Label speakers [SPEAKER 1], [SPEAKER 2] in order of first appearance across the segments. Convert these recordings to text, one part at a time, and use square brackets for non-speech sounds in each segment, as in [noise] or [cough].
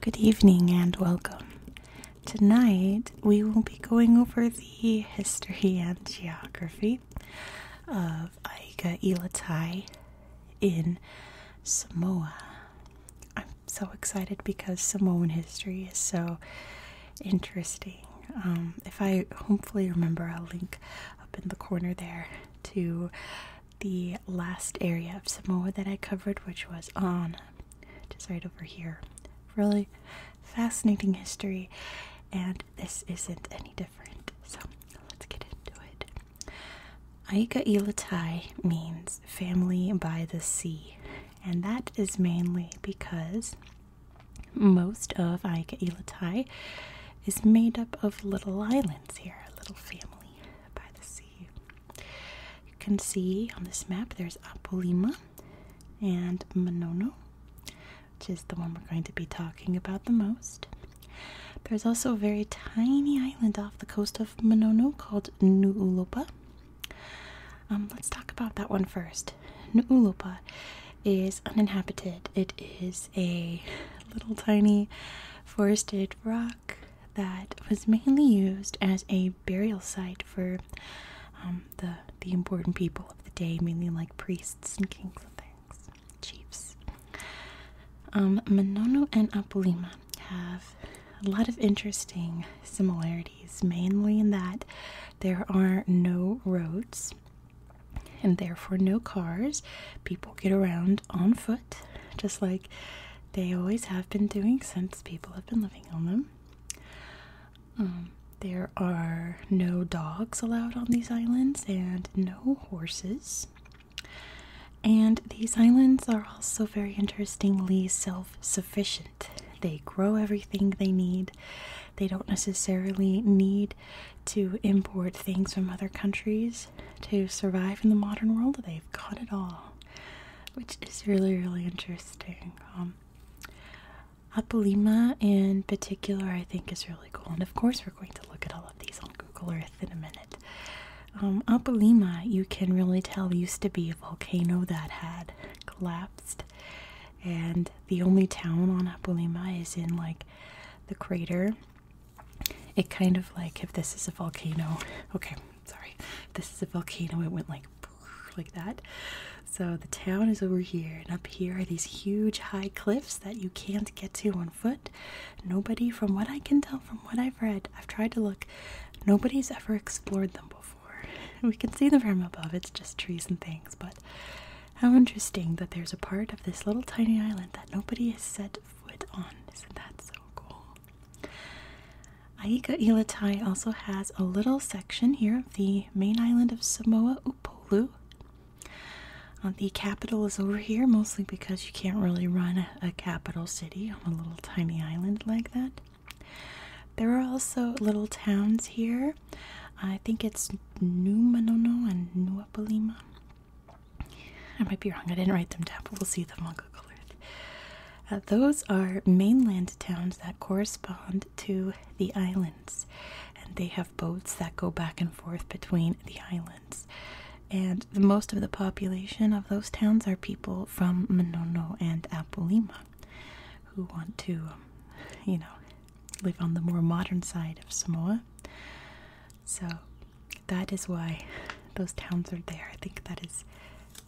[SPEAKER 1] Good evening and welcome. Tonight we will be going over the history and geography of Aiga Ilatai in Samoa. I'm so excited because Samoan history is so interesting. Um, if I hopefully remember, I'll link up in the corner there to the last area of Samoa that I covered, which was on just right over here. Really fascinating history, and this isn't any different. So let's get into it. Aika Ilatai means family by the sea, and that is mainly because most of Aika Ilatai is made up of little islands here, a little family by the sea. You can see on this map there's Apolima and Monono, which is the one we're going to be talking about the most. There's also a very tiny island off the coast of Monono called Nu'ulopa. Um, let's talk about that one first. Nu'ulopa is uninhabited. It is a little tiny forested rock that was mainly used as a burial site for um, the the important people of the day, mainly like priests and kings and things, chiefs. Um, Manono and Apolima have a lot of interesting similarities, mainly in that there are no roads and therefore no cars. People get around on foot, just like they always have been doing since people have been living on them. Um, there are no dogs allowed on these islands and no horses. And these islands are also very interestingly self sufficient. They grow everything they need. They don't necessarily need to import things from other countries to survive in the modern world. They've got it all, which is really, really interesting. Um, in particular, I think, is really cool. And of course, we're going to look at all of these on Google Earth in a minute. Um, you can really tell, used to be a volcano that had collapsed and the only town on Apolima is in like the crater. It kind of like if this is a volcano. Okay, sorry. this is a volcano. It went like [laughs] like that. So the town is over here, and up here are these huge high cliffs that you can't get to on foot. Nobody, from what I can tell, from what I've read, I've tried to look, nobody's ever explored them before. [laughs] We can see them from above, it's just trees and things, but how interesting that there's a part of this little tiny island that nobody has set foot on. Isn't that so cool? Aika Ilatai also has a little section here of the main island of Samoa Upolu. Uh, the capital is over here, mostly because you can't really run a capital city on a little tiny island like that. There are also little towns here I think it's Numanono and Nuapalima. I might be wrong, I didn't write them down, but we'll see them on Google Earth. Uh, those are mainland towns that correspond to the islands, and they have boats that go back and forth between the islands. And the, most of the population of those towns are people from Manono and Apolima who want to, um, you know, live on the more modern side of Samoa. So that is why [laughs] those towns are there. I think that is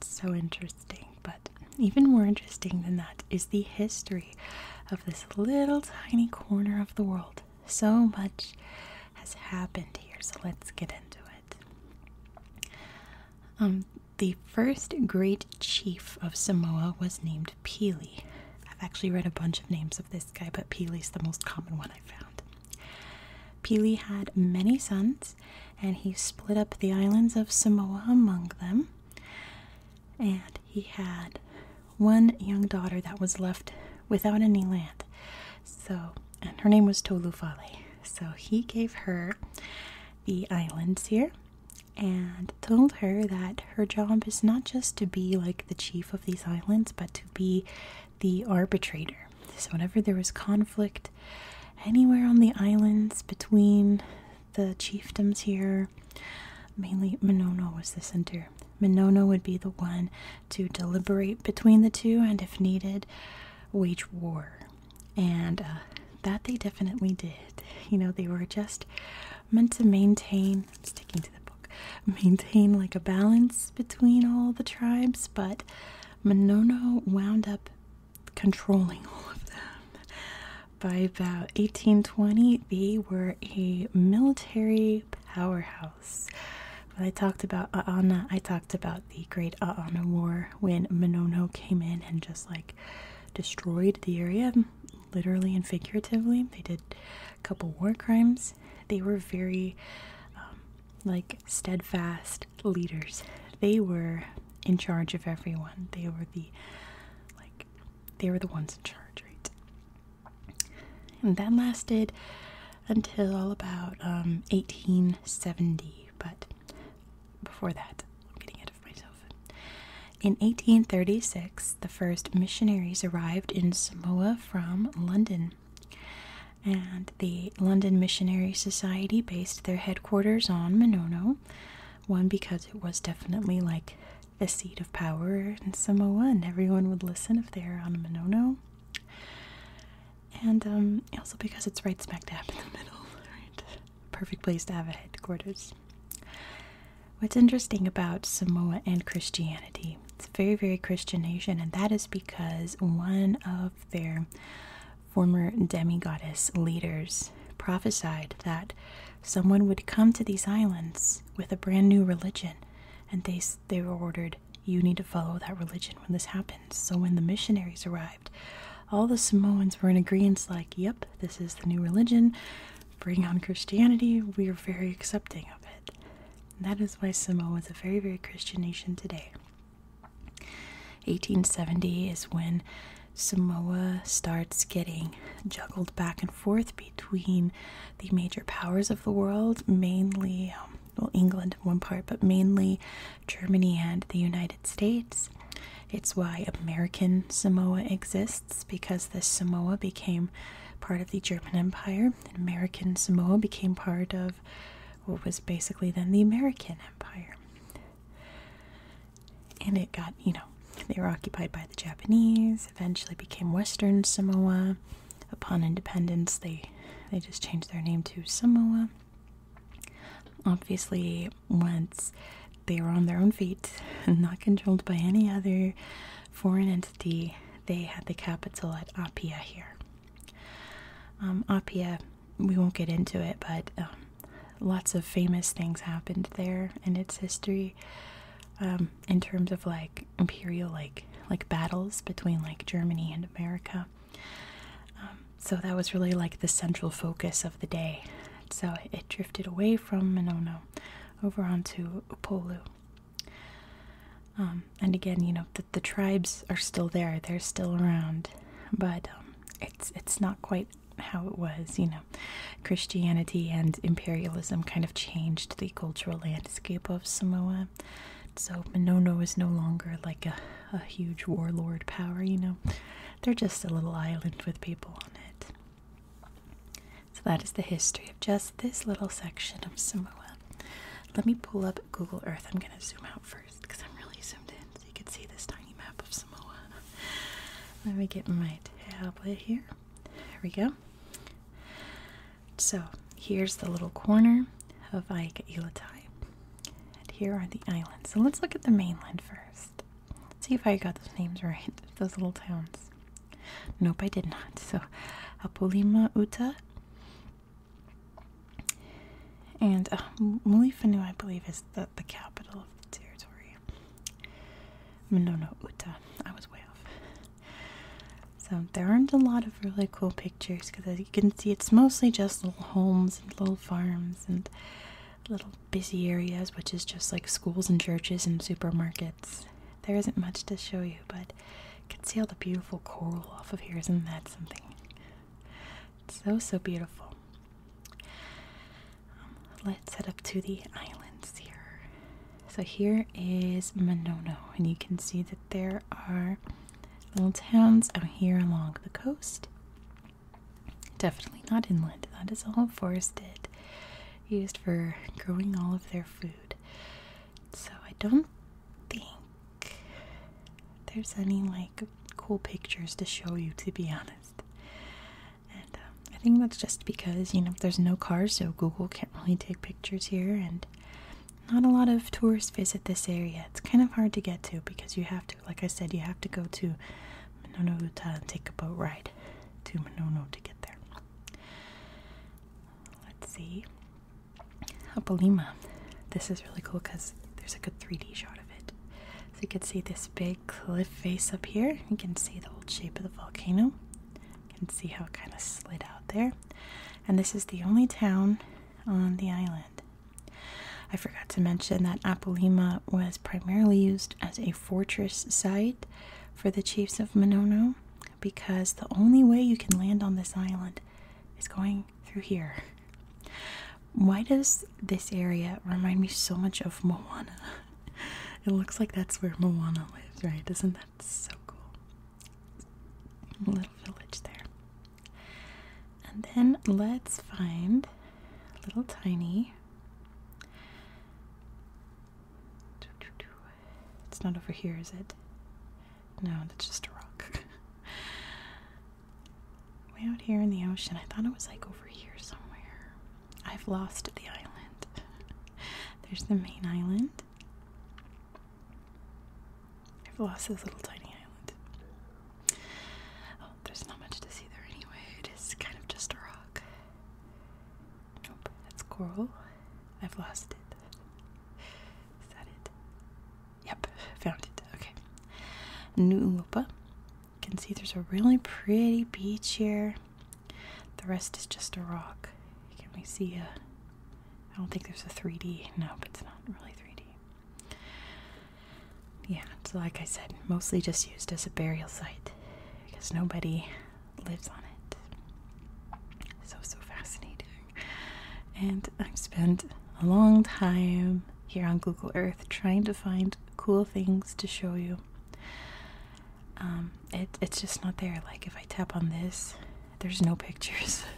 [SPEAKER 1] so interesting. But even more interesting than that is the history of this little tiny corner of the world. So much has happened here, so let's get into it. Um, the first great chief of Samoa was named Pele. I've actually read a bunch of names of this guy, but Pele's the most common one I found. Pele had many sons, and he split up the islands of Samoa among them. And he had one young daughter that was left without any land. So, and her name was Tolufale. So he gave her the islands here and told her that her job is not just to be like the chief of these islands, but to be the arbitrator. So, whenever there was conflict anywhere on the islands between the chiefdoms here, mainly Minono was the center. Minono would be the one to deliberate between the two and, if needed, wage war. And uh, that they definitely did. You know, they were just meant to maintain, sticking to the book, maintain like a balance between all the tribes, but Monono wound up controlling [laughs] all of them. By about 1820, they were a military powerhouse. When I talked about Aana, I talked about the Great Aana War when Monono came in and just like destroyed the area, literally and figuratively. They did a couple war crimes. They were very, um, like, steadfast leaders. They were in charge of everyone. They were the, like, they were the ones in charge, right? And that lasted until about 1870, um, but before that, I'm getting ahead of myself. In 1836, the first missionaries arrived in Samoa from London. And the London Missionary Society based their headquarters on Monono. One, because it was definitely like the seat of power in Samoa, and everyone would listen if they were on Monono and um, also because it's right smack dab in the middle, Perfect place to have a headquarters. What's interesting about Samoa and Christianity, it's a very, very Christian nation, and that is because one of their former demigoddess leaders prophesied that someone would come to these islands with a brand new religion, and they, they were ordered, You need to follow that religion when this happens. So when the missionaries arrived, all the Samoans were in agreement like, yep, this is the new religion, bring on Christianity, we are very accepting of it. And that is why Samoa is a very, very Christian nation today. 1870 is when Samoa starts getting juggled back and forth between the major powers of the world, mainly um, well, England in one part, but mainly Germany and the United States. It's why American Samoa exists because the Samoa became part of the German Empire, and American Samoa became part of what was basically then the American Empire. And it got, you know, they were occupied by the Japanese, eventually became Western Samoa. Upon independence, they they just changed their name to Samoa. Obviously, once they were on their own feet and [laughs] not controlled by any other foreign entity, they had the capital at Apia here. Um, Apia, we won't get into it, but um, lots of famous things happened there in its history. Um, in terms of like imperial, like like battles between like Germany and America, um, so that was really like the central focus of the day. So it drifted away from Minono over onto Upolu. Um, and again, you know, the, the tribes are still there, they're still around, but um, it's, it's not quite how it was, you know. Christianity and imperialism kind of changed the cultural landscape of Samoa. So Minono is no longer like a, a huge warlord power, you know. They're just a little island with people on it. So that is the history of just this little section of Samoa. Let me pull up Google Earth. I'm going to zoom out first because I'm really zoomed in so you can see this tiny map of Samoa. Let me get my tablet here. Here we go. So here's the little corner of Aika Ilatai. And here are the islands. So let's look at the mainland first. Let's see if I got those names right, [laughs] those little towns. Nope, I did not. So Apulima Uta and uh, Mulifanu, I believe, is the, the capital of the territory. Monono Uta. I was way off. So there aren't a lot of really cool pictures because as you can see, it's mostly just little homes and little farms and little busy areas, which is just like schools and churches and supermarkets. There isn't much to show you, but you can see all the beautiful coral off of here. Isn't that something? It's so, so beautiful. Um, let's head up to the islands here. So here is Monono, and you can see that there are little towns out here along the coast. Definitely not inland, that is all forested, used for growing all of their food. So I don't think there's any like cool pictures to show you, to be honest. And um, I think that's just because, you know, there's no cars, so Google can't really take pictures here, and not a lot of tourists visit this area. It's kind of hard to get to because you have to, like I said, you have to go to Mononouta and take a boat ride to Monono to get there. Let's see. Apolima. This is really cool because there's a good 3D shot of it. So you can see this big cliff face up here. You can see the old shape of the volcano. You can see how it kind of slid out there. And this is the only town on the island. I forgot to mention that Apalima was primarily used as a fortress site for the chiefs of Monono because the only way you can land on this island is going through here. Why does this area remind me so much of Moana? [laughs] It looks like that's where Moana lives, right? does not that so cool. Little village there. And then let's find a little tiny. It's not over here, is it? No, that's just a rock. [laughs] Way out here in the ocean. I thought it was like over here somewhere. I've lost the island. There's the main island. I've lost this little tiny island. Oh, there's not much to see there anyway. It is kind of just a rock. Nope, that's coral. I've lost it. Is that it? Yep, found it. Okay. New Ulopa. You can see there's a really pretty beach here. The rest is just a rock. Can we see a. I don't think there's a 3D. No, but it's not really 3D. Yeah, so like I said, mostly just used as a burial site because nobody lives on it. So, so fascinating. And I've spent a long time here on Google Earth trying to find cool things to show you um, it, it's just not there. Like if I tap on this, there's no pictures. [laughs]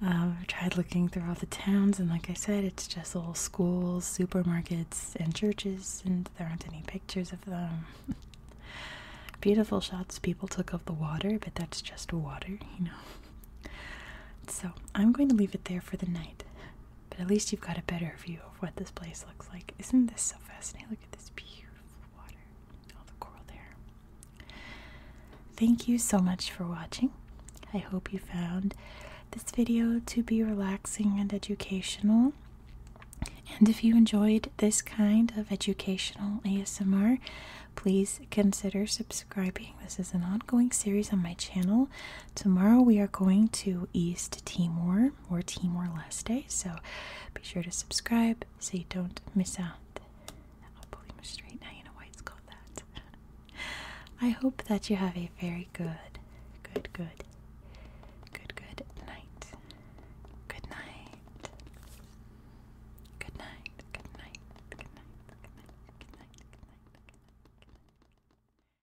[SPEAKER 1] Um, i tried looking through all the towns, and like I said, it's just little schools, supermarkets, and churches, and there aren't any pictures of them. [laughs] Beautiful shots people took of the water, but that's just water, you know. [laughs] So I'm going to leave it there for the night. But at least you've got a better view of what this place looks like. Isn't this so fascinating? Look at this beautiful water, all the coral there. Thank you so much for watching. I hope you found this video to be relaxing and educational. And if you enjoyed this kind of educational ASMR, please consider subscribing. This is an ongoing series on my channel. Tomorrow we are going to East Timor or more tea, more less day. So be sure to subscribe so you don't miss out. I'll pull straight now. You know why it's called that. [laughs] I hope that you have a very good, good, good, good, Good night. Good night. Good night. Good night. Good night. Good night. Good night. Good night. Good night.